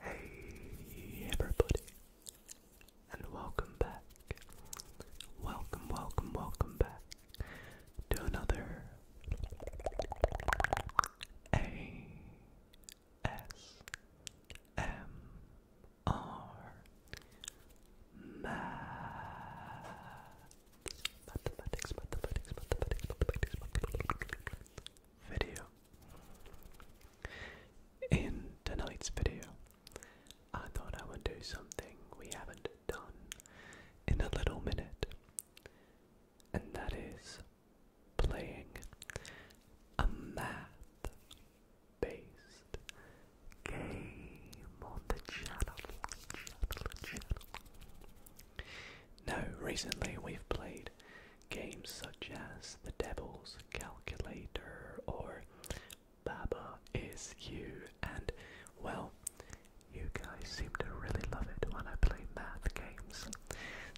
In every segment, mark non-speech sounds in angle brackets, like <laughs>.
Hey everybody, and welcome back. Welcome, welcome, welcome back to another ASMR mathematics, mathematics, mathematics, mathematics, mathematics video. In tonight's video, I thought I would do something we haven't done in a little minute, and that is playing a math based game on the channel. channel, recently we've played Games such as The Devil's Calculator or Baba Is You, and well, you guys seem to really love it when I play math games.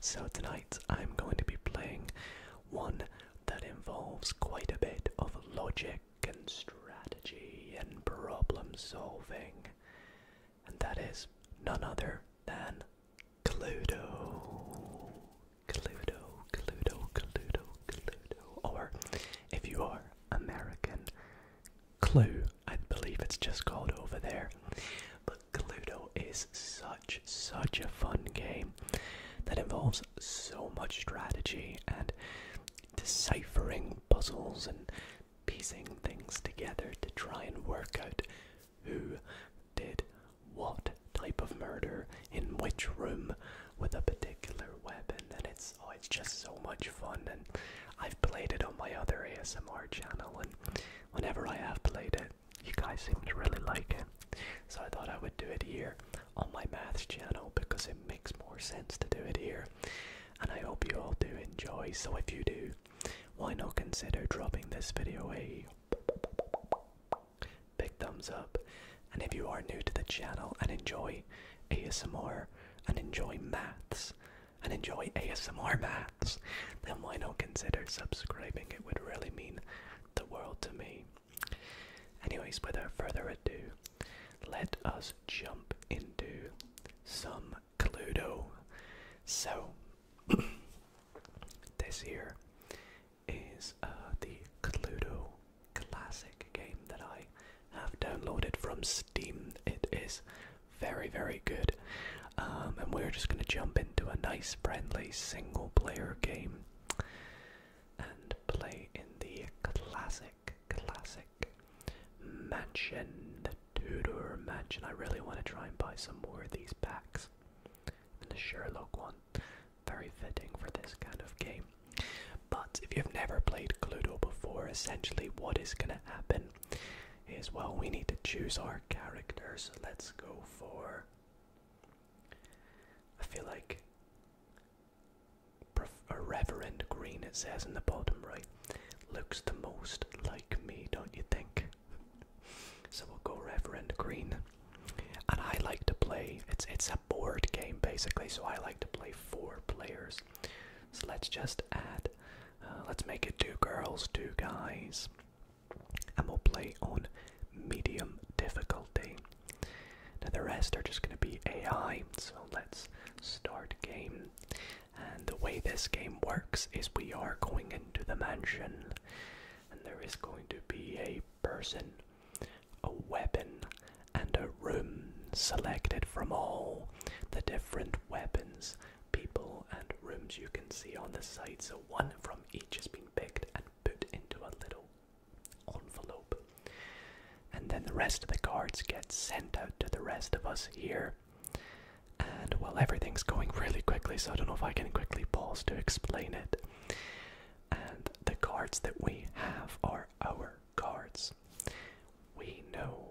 So tonight I'm going to be playing one that involves quite a bit of logic and strategy and problem solving and that is none other than Cluedo. Cluedo, Cluedo, Cluedo, Cluedo. Or if you are American, Clue. I believe it's just called over there. But Cluedo is such, such a fun game that involves so much strategy and deciphering puzzles and piecing things together to try and work out who did what type of murder in which room with a particular weapon? And it's oh, it's just so much fun. And I've played it on my other ASMR channel, and whenever I have played it, you guys seem to really like it. So I thought I would do it here on my maths channel because it makes more sense to do it here. And I hope you all do enjoy. So if you do, why not consider dropping this video a big thumbs up. And if you are new to the channel and enjoy ASMR and enjoy maths and enjoy ASMR maths, then why not consider subscribing? It would really mean the world to me. Anyways, without further ado, let us jump into some Cluedo. So, <coughs> this here is uh, the Cluedo Classic game that I have downloaded from Steam. It is very, very good. Um, and we're just going to jump into a nice, friendly single player game and play in the classic, classic mansion, the Tudor mansion. I really want to try and buy some more of these packs and the Sherlock one. Very fitting for this kind of game. But if you've never played Cluedo before, essentially what is going to happen is well, we need to choose our characters. Let's go for. I feel like a Reverend Green, it says in the bottom right, looks the most like me, don't you think? so we'll go Reverend Green. And I like to play, it's, it's a board game basically, so I like to play four players. So let's just add, uh, let's make it two girls, two guys. And we'll play on medium difficulty. Now the rest are just going to be AI, so let's start game. And the way this game works is we are going into the mansion and there is going to be a person, a weapon, and a room selected from all the different weapons, people, and rooms you can see on the site. So one from each has been picked and put into a little envelope. And then the rest of the cards get sent out to the rest of us here. And well, everything's going really quickly, so I don't know if I can quickly pause to explain it. And the cards that we have are our cards. We know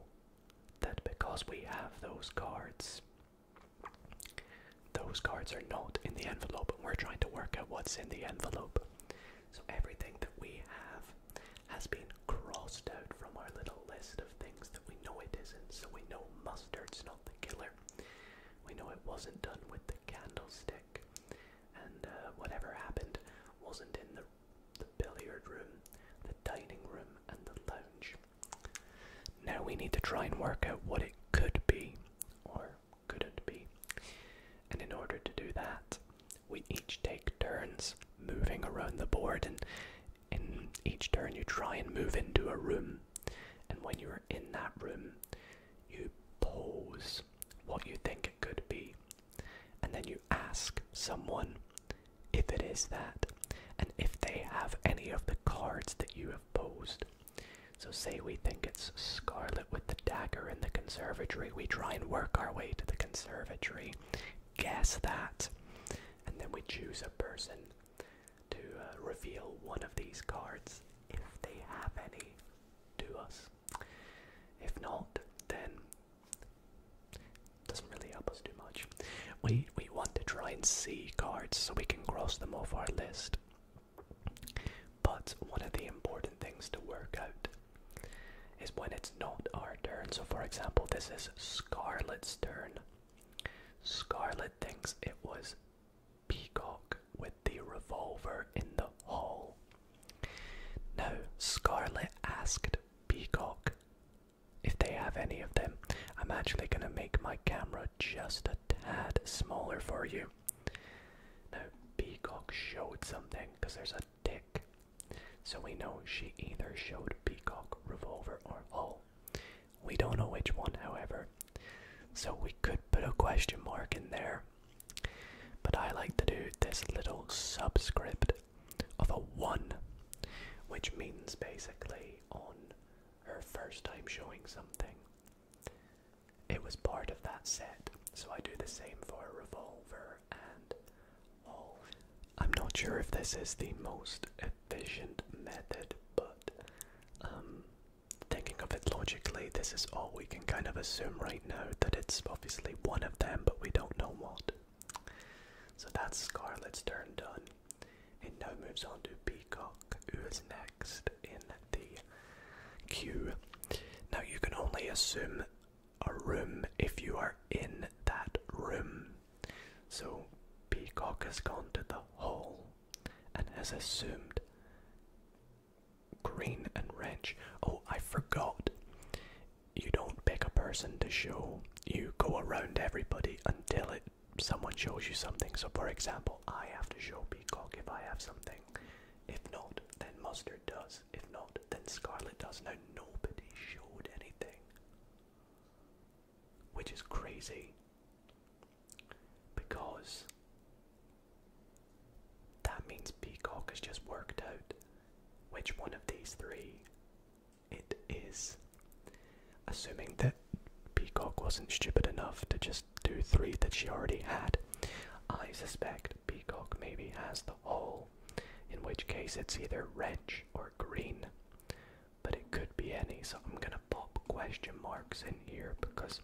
that because we have those cards, those cards are not in the envelope, we're trying to work out what's in the envelope. So everything that we have has been crossed out from our little list of things that we know it isn't. So we know mustard's not the killer. We know it wasn't done with the candlestick, and uh, whatever happened wasn't in the, billiard room, the dining room, and the lounge. Now we need to try and work out what it could be, or couldn't be. And in order to do that, we each take turns moving around the board in each turn you try and move into a room, and when you're in that room, you pose what you think it could be, and then you ask someone if it is that, and if they have any of the cards that you have posed. So, say we think it's Scarlet with the dagger in the conservatory, we try and work our way to the conservatory, guess that, and then we choose a person to uh, reveal one of these cards if they have any to us. If not, then doesn't really help us too much. We we want to try and see cards so we can cross them off our list. But one of the important things to work out is when it's not our turn. So for example, this is Scarlet's turn. Scarlet thinks it was Peacock with the revolver in the hall. Now, Scarlet asked Peacock if they have any of them. I'm actually going to make my camera just a tad smaller for you. Now, Peacock showed something because there's a dick, So we know she either showed Peacock, revolver, or hull. We don't know which one, however. So we could put a question mark in there. But I like to do this little subscript of a 1, which means basically on her first time showing something, it was part of that set. So I do the same for a revolver and I'm not sure if this is the most efficient method, but um, thinking of it logically, this is all we can kind of assume right now that it's obviously one of them, but we don't know what. So that's Scarlet's turn done. It now moves on to Peacock, who is next in the queue. Now you can only assume a room if you are in that room. So Peacock has gone to the hall and has assumed green and rich. Oh, I forgot. You don't pick a person to show. You go around everybody until it someone shows you something. So for example, I have to show Peacock if I have something. If not, then Mustard does. If not, then Scarlet does. Now nobody showed anything which is crazy because that means Peacock has just worked out which one of these three it is. Assuming that Peacock wasn't stupid enough to just do three that she already had, I suspect Peacock maybe has the whole, in which case it's either red or Green, but it could be any, so I'm gonna pop question marks in here because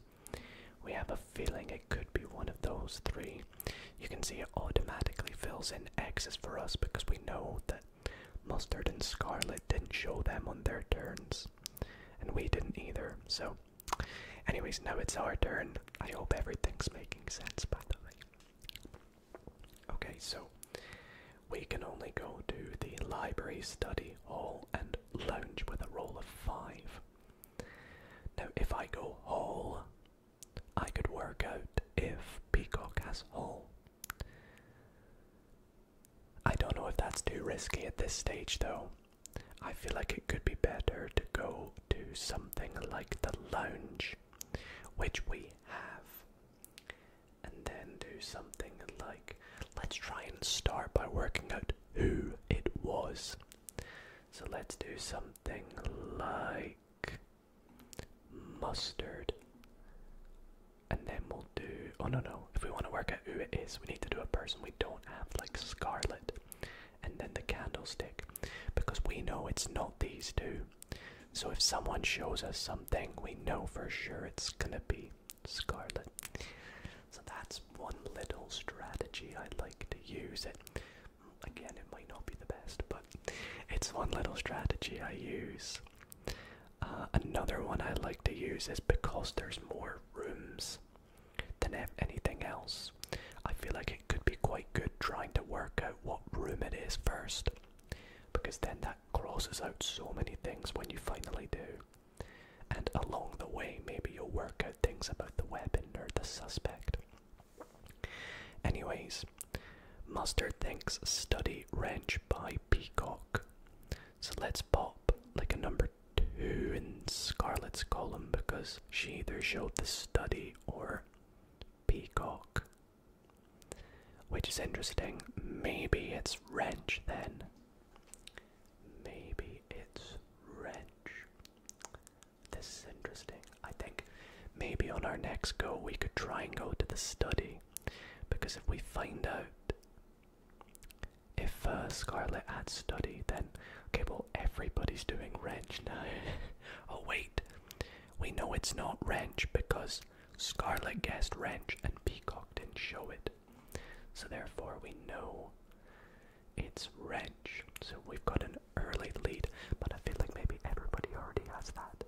we have a feeling it could be one of those three. You can see it automatically fills in X's for us because we know that Mustard and Scarlet didn't show them on their turns, and we didn't either, so. Anyways, now it's our turn. I hope everything's making sense, by the way. Okay, so we can only go to the library, study hall, and lounge with a roll of five. Now, if I go hall, I could work out if Peacock has hall. I don't know if that's too risky at this stage, though. I feel like it could be better to go to something like the lounge, which we have and then do something like let's try and start by working out who it was. So let's do something like mustard. And then we'll do. Oh no, no. If we want to work out who it is, we need to do a person we don't have, like Scarlet. And then the candlestick. Because we know it's not these two. So if someone shows us something, we know for sure it's gonna be scarlet. So that's one little strategy I like to use. It again, it might not be the best, but it's one little strategy I use. Uh, another one I like to use is because there's more rooms than anything else. I feel like it could be quite good trying to work out what room it is first, because then that crosses out so many things when you finally do. And along the way, maybe you'll work out things about the weapon or the suspect. Anyways, Mustard thinks Study Wrench by Peacock. So let's pop like a number two in Scarlet's column because she either showed the study or Peacock. Which is interesting. Maybe it's Wrench then. Maybe it's wrench. This is interesting. I think maybe on our next go we could try and go to the study. Because if we find out if uh, Scarlet had study, then okay, well, everybody's doing wrench now. <laughs> oh, wait, we know it's not wrench because Scarlet guessed wrench and Peacock didn't show it. So therefore, we know it's Reg. So we've got an early lead, but I feel like maybe everybody already has that.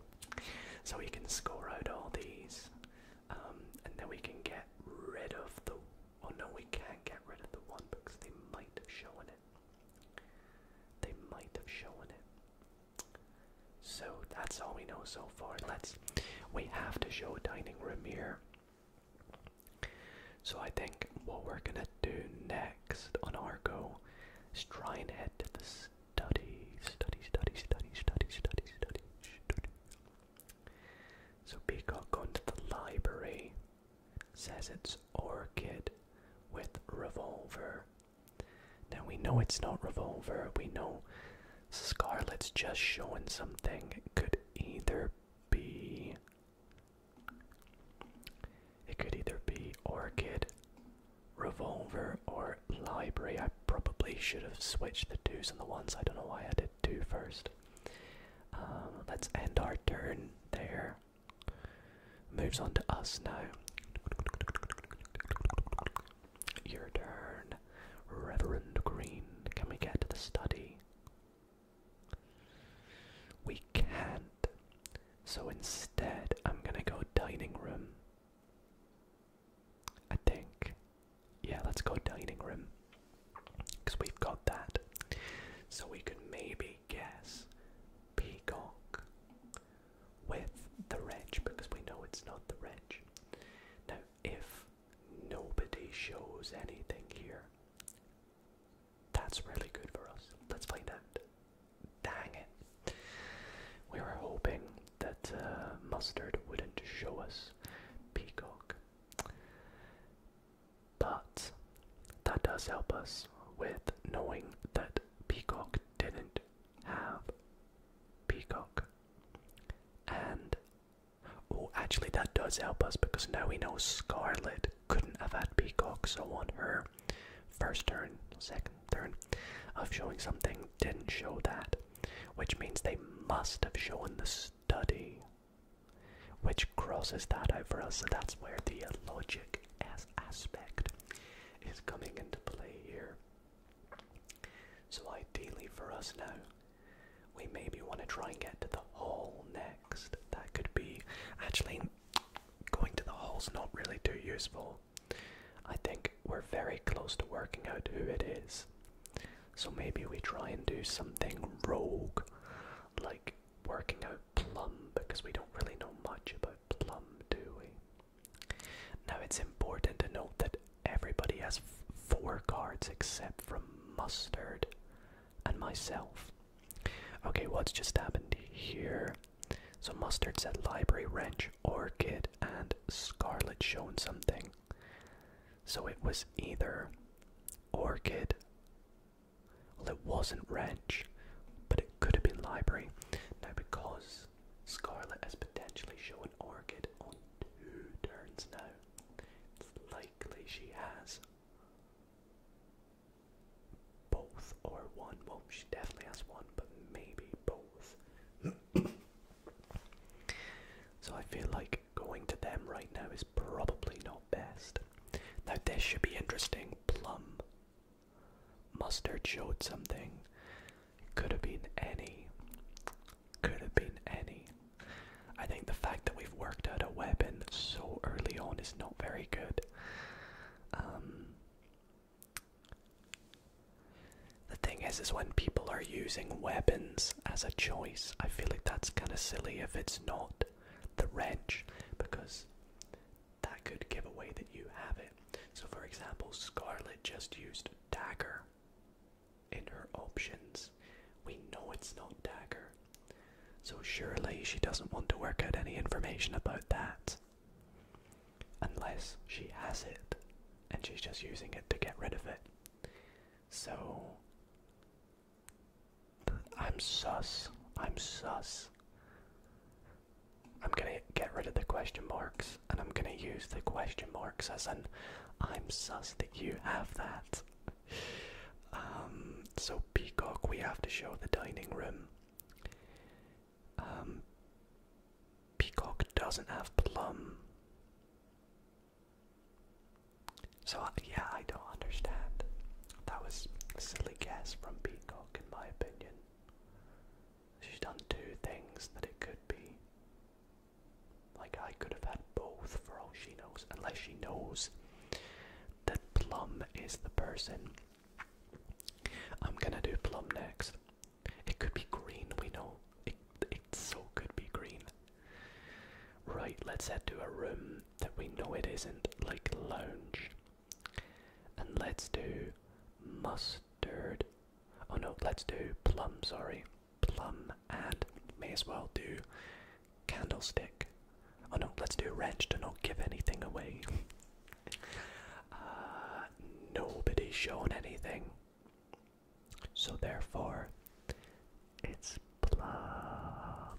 So we can score out all these, um, and then we can get rid of the. Oh no, we can't get rid of the one because they might have shown it. They might have shown it. So that's all we know so far. Let's space. We have to show dining room here. So I think what we're gonna do next on our go is try and head to the study, study, study, study, study, study, study, study. So Peacock going to the library says it's Orchid with Revolver. Now we know it's not Revolver, we know Scarlet's just showing something. It could either be. It could either be Orchid, Revolver, or Library. I probably should have switched the twos and the ones. I don't know why I did two first. Um, let's end our turn there. Moves on to us now. Your turn. Reverend Green, can we get to the study? We can't. So instead, I'm gonna go dining room. I think. Yeah, let's go dining room. Because we've got that. So we can maybe guess peacock with the reg because we know it's not the reg. Now, if nobody shows anything here, that's really good for us. Let's find out. Dang it. We were hoping that uh, Mustard wouldn't show us Peacock. But that does help us with knowing that Peacock didn't have Peacock. And Oh, actually, that does help us because now we know Scarlet couldn't have had Peacock, so on her first turn, second turn of showing something, didn't show that, which means they must have shown the study, which crosses that out So that's where the logic aspect is coming into play here. So ideally for us now, we maybe want to try and get to the hole next. That could be. Actually, going to the hole's not really too useful. I think we're very close to working out who it is. So maybe we try and do something rogue, like working out Plum, because we don't really know much about Plum, do we? Now it's important to note that Everybody has four cards except from Mustard and myself. Okay, what's just happened here? So Mustard said Library Wrench, Orchid, and Scarlet showing something. So it was either Orchid. Well, it wasn't Wrench, but it could have been Library. Now, because Scarlet has potentially shown Orchid on two turns now, likely she has both or one. Well, she definitely has one, but maybe both. <coughs> so I feel like going to them right now is probably not best. Now, this should be interesting. Plum. Mustard showed something. could have been any. Could have been any. I think the fact that we've worked out a weapon so early on is not very good. Um, the thing is, is when people are using weapons as a choice, I feel like that's kind of silly if it's not the wrench, because that could give away that you have it. So, for example, Scarlet just used dagger in her options. We know it's not Dagger. So surely she doesn't want to work out any information about that. Unless she has it and she's just using it to get rid of it. So. I'm sus. I'm sus. I'm gonna get rid of the question marks and I'm gonna use the question marks as an I'm sus that you have that. Um, so, Peacock, we have to show the dining room. Um, Peacock doesn't have plum. So, yeah, I don't understand. That was a silly guess from Peacock, in my opinion. She's done two things that it could be. Like I could have had both for all she knows, unless she knows that Plum is the person. I'm gonna do Plum next. It could be green, we know. It, it so could be green. Right, let's head to a room that we know it isn't, like lounge. And let's do mustard. Oh no, let's do plum, sorry plum and may as well do candlestick. Oh no, let's do wrench to not give anything away. <laughs> Uh, nobody's shown anything. So therefore, it's plum,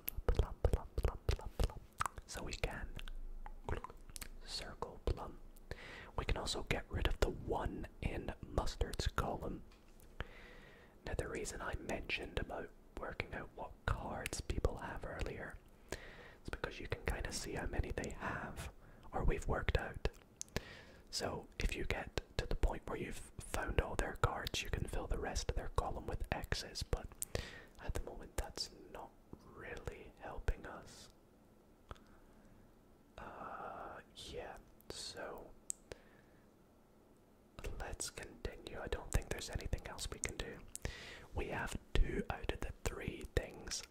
So we can circle plum. We can also get rid of the one in mustard's column. Now, the reason I mentioned about working out what cards people have earlier is because you can kind of see how many they have or we've worked out. So, if you get to the point where you've found all their cards, you can fill the rest of their column with X's, but at the moment that's not really helping us. Uh, yeah, so Let's continue. I don't think there's anything else we can do. We have two out of the three things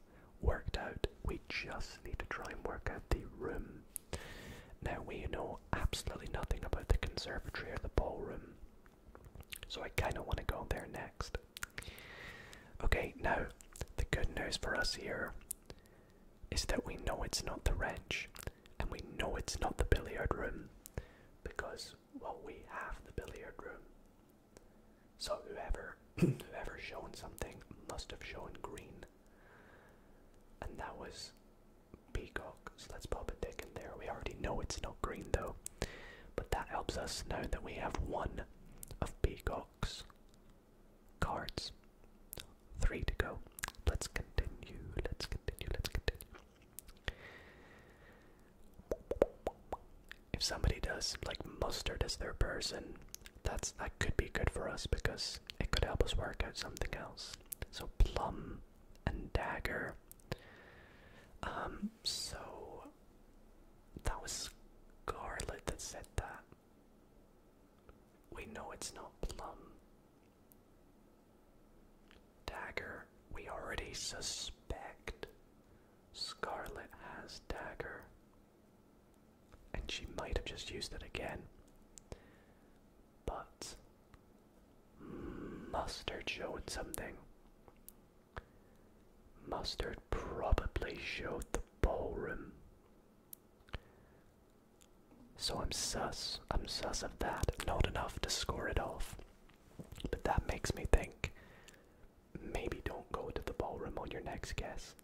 worked out. We just need to try and work out the room. Now, we know absolutely nothing about the conservatory or the ballroom, so I kind of want to go there next. Okay, now, the good news for us here is that we know it's not the ranch, and we know it's not the billiard room because well we have the billiard room so whoever <clears throat> whoever shown something must have shown green and that was peacock so let's pop a dick in there we already know it's not green though but that helps us know that we have one of peacock's cards Three to go. Let's continue. Let's continue. Let's continue. If somebody does like mustard as their person, that's that could be good for us because it could help us work out something else. So plum and dagger. Um. So that was Scarlet that said that. We know it's not plum. Dagger, we already suspect Scarlet has dagger. And she might have just used it again. But mustard showed something. Mustard probably showed the ballroom. So I'm sus. I'm sus of that. Not enough to score it off. But that makes me think maybe don't go to the ballroom on your next guess.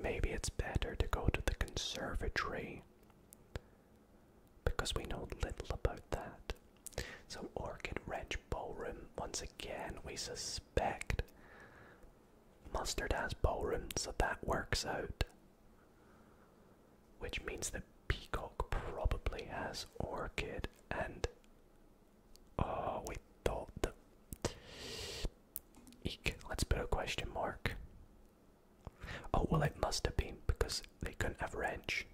Maybe it's better to go to the conservatory because we know little about that. So, Orchid Ranch Ballroom, once again, we suspect. Mustard has ballroom, so that works out. Which means that Peacock probably has Orchid and. Oh, we thought that. Eek, let's put a question mark. Oh, well, it must have been because they couldn't have wrench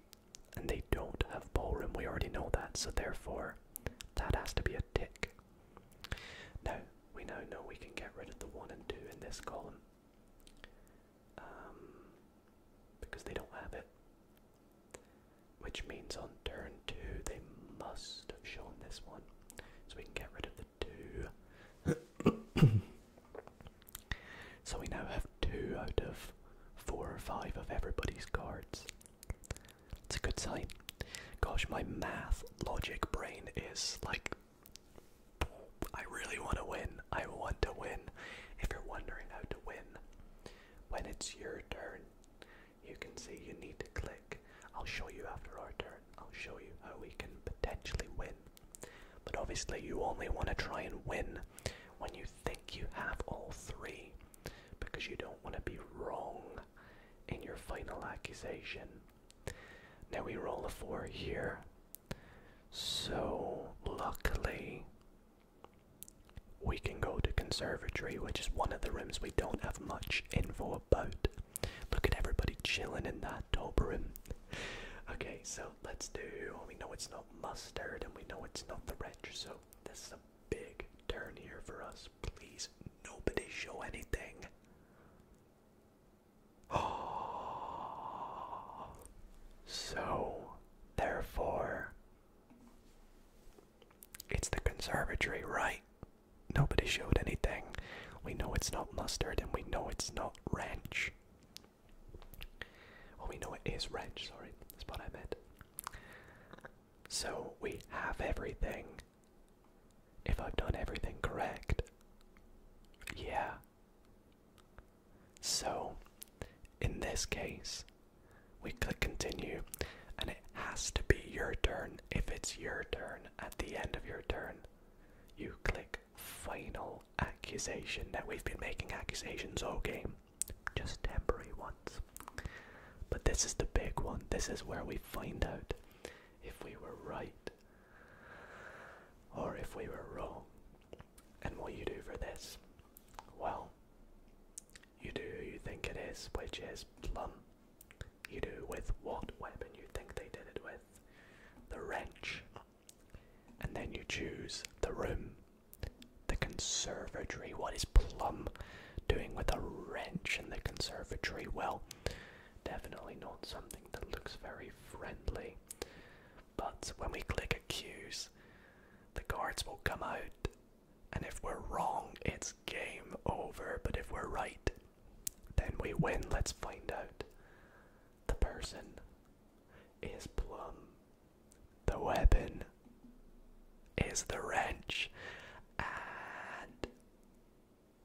and they don't have ballroom. We already know that, so therefore, that has to be a tick. Now, we now know we can get rid of the 1 and 2 in this column. Um, because they don't have it. Which means on turn two they must have shown this one, so we can get rid of the two. <coughs> so we now have two out of four or five of everybody's cards. It's a good sign. Gosh, my math logic brain is like I really want to win. I want to win. If you're wondering how to win, when it's your turn, you can see you need to click. I'll show you after our turn. I'll show you how we can potentially win. But obviously, you only want to try and win when you think you have all three because you don't want to be wrong in your final accusation. Now we roll a four here. So, luckily, we can go to conservatory, which is one of the rooms we don't have much info about. Look at everybody chilling in that top room. Okay, so let's do. Oh, we know it's not mustard, and we know it's not the red. So this is a big turn here for us. Please, nobody show anything. <gasps> so, therefore, it's the conservatory, right? Nobody showed anything. We know it's not mustard and we know it's not ranch. Well, we know it is ranch, sorry, that's what I meant. So, we have everything. If I've done everything correct, yeah, so, in this case, we click continue, and it has to be your turn. If it's your turn at the end of your turn, you click final accusation. Now, we've been making accusations all game, just temporary ones. But this is the big one. This is where we find out if we were right or if we were wrong. And what you do for this? Well, you do you think it is, which is plum. You do with what weapon you think they did it with, the wrench. And then you choose the room, the conservatory. What is plum doing with a wrench in the conservatory? Well, Definitely not something that looks very friendly. But when we click accuse, the guards will come out, and if we're wrong, it's game over. But if we're right, then we win. Let's find out. The person is Plum. The weapon is the wrench. And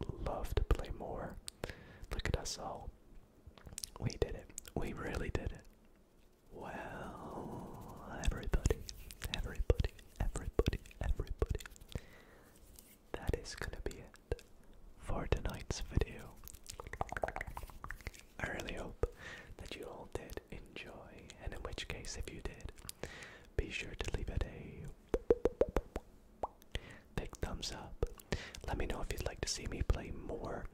would love to play more. Look at us all. We did it. We really did it. Well, everybody, everybody, everybody, everybody. That is gonna be it for tonight's video. I really hope that you all did enjoy, and in which case, if you did, be sure to leave it a Big thumbs up. Let me know if you'd like to see me play more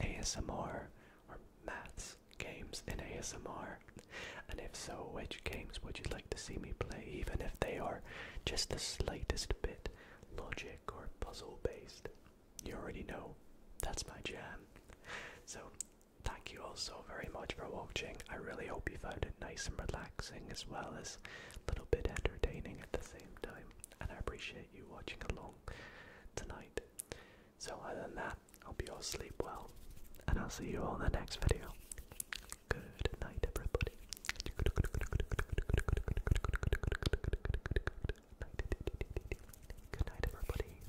ASMR or maths games in ASMR. And if so, which games would you like to see me play, even if they are just the slightest bit logic or puzzle based? You already know that's my jam. So, thank you all so very much for watching. I really hope you found it nice and relaxing as well as a little bit entertaining at the same time. And I appreciate you watching along tonight. So, other than that, hope you all sleep well, and I'll see you all in the next video. Good night, everybody. Good night, everybody.